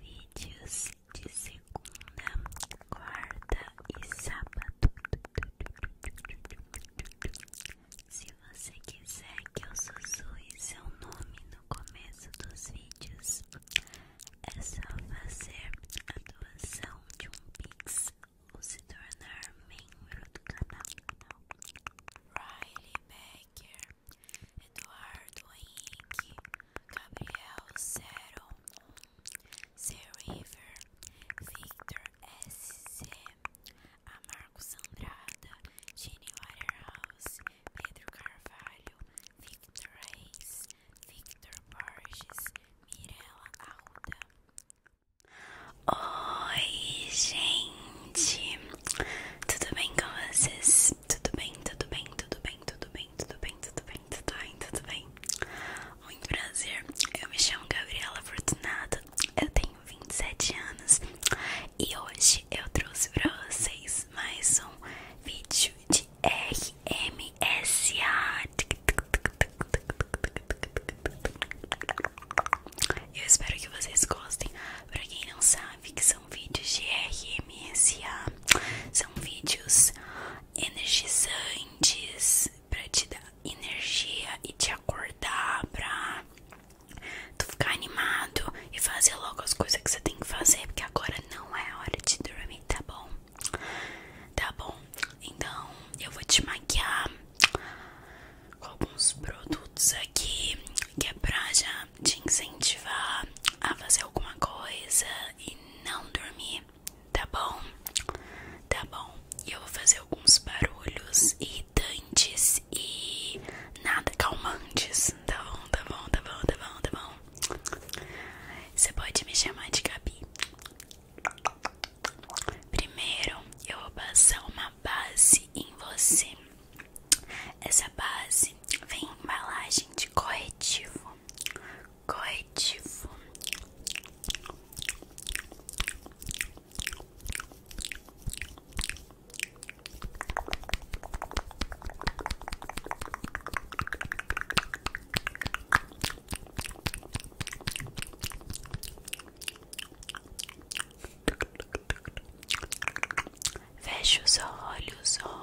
Vídeos de segunda, quarta e sábado. Se você quiser que eu sussurre seu nome no começo dos vídeos, é só fazer a doação de um pix ou se tornar membro do canal. Riley Becker Eduardo Henrique, Gabriel Zero, C. River, Victor S.C., Amarcos Sandrada, Jenny Waterhouse, Pedro Carvalho, Victor Reis, Victor Borges, Mirella Alda. Oi, gente! Tudo bem com vocês? tudo bem, tudo bem, tudo bem, tudo bem, tudo bem, tudo bem, tudo bem, tudo bem. Muito prazer, eu me chamo Gabriela Fortunata, eu tenho 27 anos e hoje eu trouxe pra vocês mais um vídeo de RMSA. Eu espero que vocês gostem. Pra quem não sabe, que são são vídeos de RMSA, são vídeos energizantes pra te dar energia e te acordar pra tu ficar animado e fazer logo as coisas que você tem que fazer, porque agora não é hora de dormir, tá bom? Tá bom, então eu vou te maquiar com alguns produtos aqui que é pra já te incentivar a fazer alguma coisa e não dormir, tá bom? Tá bom. E eu vou fazer alguns barulhos irritantes e nada calmantes, tá bom? Tá bom, tá bom, tá bom, tá bom. Você pode me chamar de Gabi. Primeiro, eu vou passar uma base em você. Essa base vem em embalagem de corretivo. Corretivo. Fecha os olhos, olhos.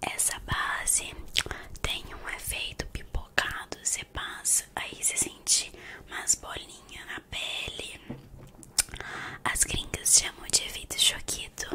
Essa base tem um efeito pipocado, você passa, aí você sente mais bolinha na pele. As gringas chamam de efeito choquito.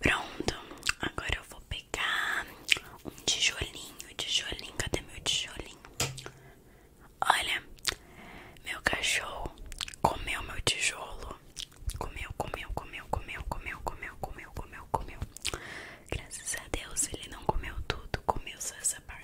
Pronto, agora eu vou pegar um tijolinho, tijolinho, cadê meu tijolinho? Olha, meu cachorro comeu meu tijolo. Comeu, comeu, comeu, comeu, comeu, comeu, comeu, comeu, comeu. Graças a Deus ele não comeu tudo, comeu só essa parte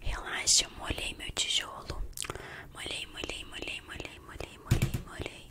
Relaxa, eu molhei meu tijolo. Molhei, molhei, molhei, molhei, molhei, molhei, molhei.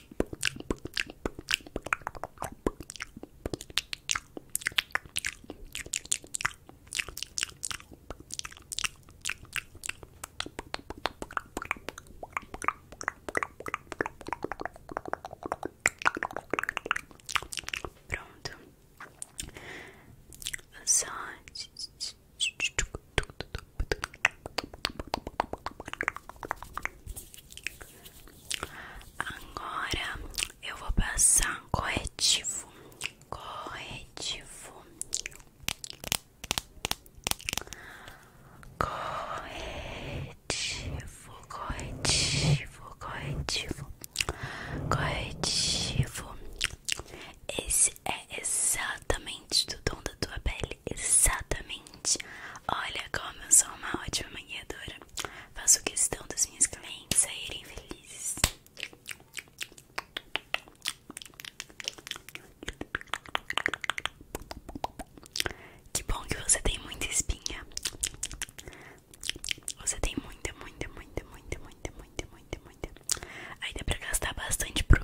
Pronto, só Agora eu vou passar corretivo, corretivo, corretivo, corretivo, corretivo, Esse é exatamente do tom da tua pele, exatamente olha como eu sou uma ótima maquiadora. Faço questão dos meus clientes saírem felizes. Que bom que você tem muita espinha. Você tem muita, muita, muita, muita, muita, muita, muita, muita. Aí dá pra gastar bastante produto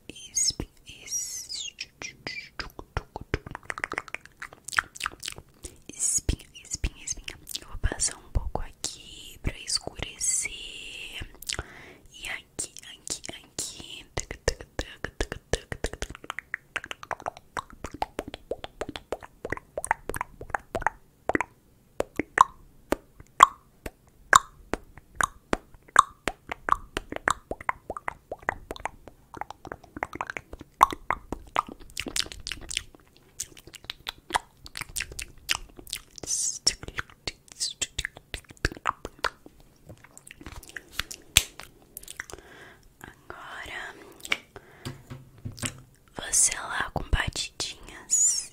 Isp, isp, espinha, espinha, espinha. Eu vou passar um pouco aqui pra escurecer. E aqui, aqui, aqui. Agora você lá com batidinhas.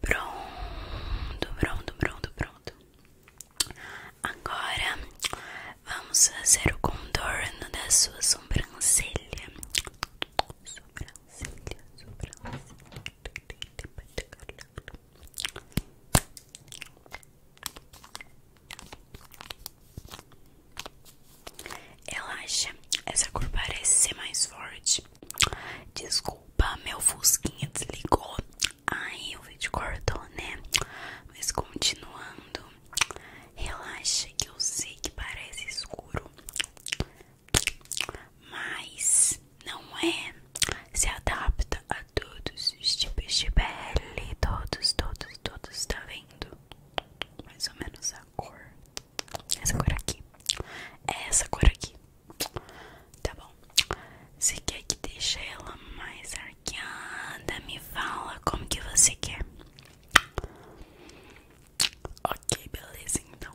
Pronto, pronto, pronto, pronto. Agora vamos fazer o contorno da sua sobrancelha. Sobrancelha, sobrancelha. Relaxa, essa cor parece ser mais forte. Desculpa, meu fusquinha desligou. Ai, o vídeo cortou, né? Mas continuando, relaxa que eu sei que parece escuro mas não é. Se adapta a todos os tipos de pele, todos, todos, todos, tá vendo? Mais ou menos a cor. Essa cor aqui. É essa cor aqui. Tá bom. se quer que deixe ela mais arqueada? Me fala como que você quer. Ok, beleza então.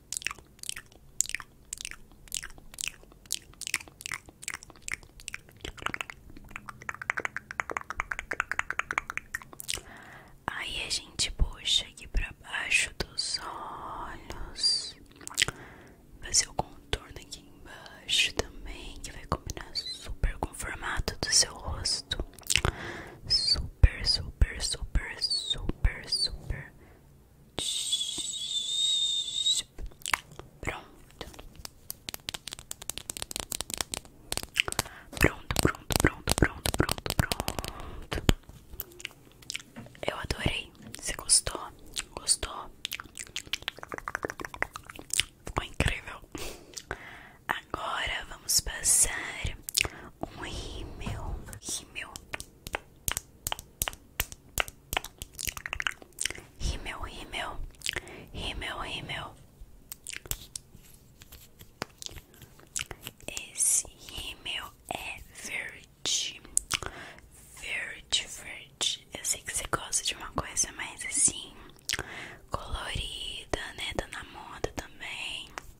Aí a gente puxa aqui pra baixo dos olhos, fazer o contorno aqui embaixo também, que vai combinar super com o formato do seu rosto, super, super, super, super, super. Pronto. Pronto, pronto, pronto, pronto, pronto, pronto. Eu adorei. Você gostou? Gostou? Ficou incrível. Agora vamos passar um rímel, rímel, rímel, rímel, rímel, rímel. Esse rímel é verde, verde, verde. Eu sei que você gosta de uma coisa mais assim, colorida, né? Tá na moda também.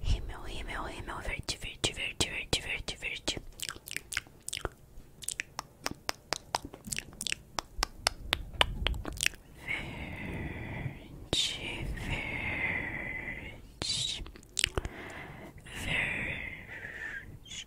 Himmel, Himmel, Himmel, Verde, Verde, Verde, Verde, Verde, Verde. Verde, verde, verde,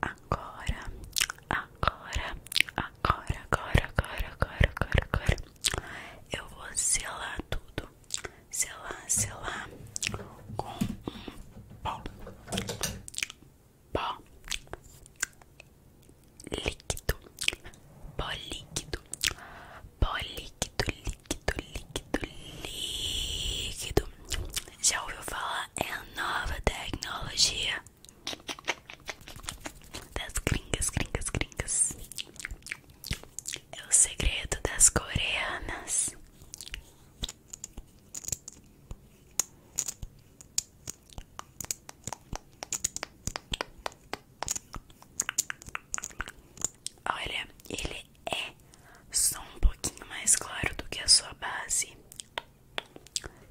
Agora, agora, agora, agora, agora, agora, agora, agora, eu vou selar tudo, selar, selar com um pó, pó líquido, pó líquido, pó líquido, líquido, líquido, líquido. Já ouviu falar? É a nova tecnologia das gringas, gringas, gringas. É o segredo das coreanas. Olha, ele é só um pouquinho mais claro do que a sua base.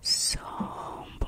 Só um pouquinho.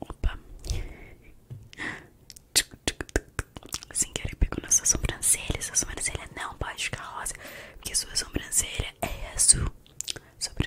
Opa. Sem querer pegou na sua sobrancelha. Sua sobrancelha não pode ficar rosa, porque sua sobrancelha é azul. Sobrancelha.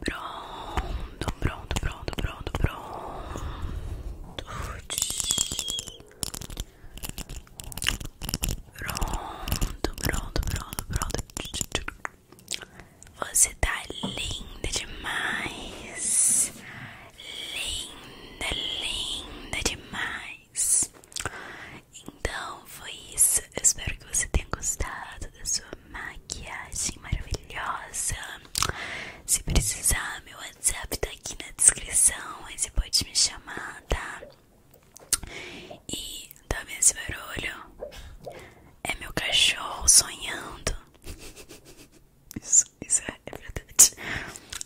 Pronto, pronto, pronto, pronto, pronto. Pronto, pronto, pronto, pronto. Você tá linda demais. Linda, linda demais. Então foi isso. espero que você tenha gostado da sua maquiagem maravilhosa. Se precisar, meu WhatsApp tá aqui na descrição. você pode me chamar, tá? E também tá esse barulho é meu cachorro sonhando. Isso, isso é, verdade.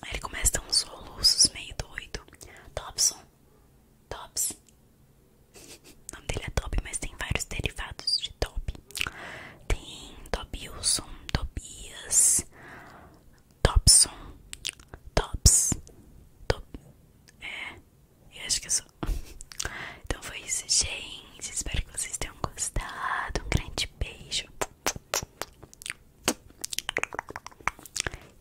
Aí ele começa a dar uns soluços meio doido. Topson, Tops. O nome dele é Top, mas tem vários derivados de Top. Tem Tobilson, Tobias, Topson, Tops, Top, é, eu acho que é só. Então foi isso, gente. Espero que vocês tenham gostado. Um grande beijo.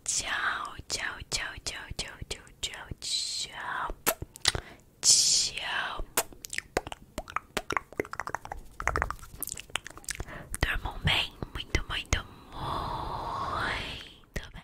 Tchau, tchau, tchau, tchau, tchau, tchau, tchau, tchau. Tchau. Dormam bem, muito, muito, muito bem.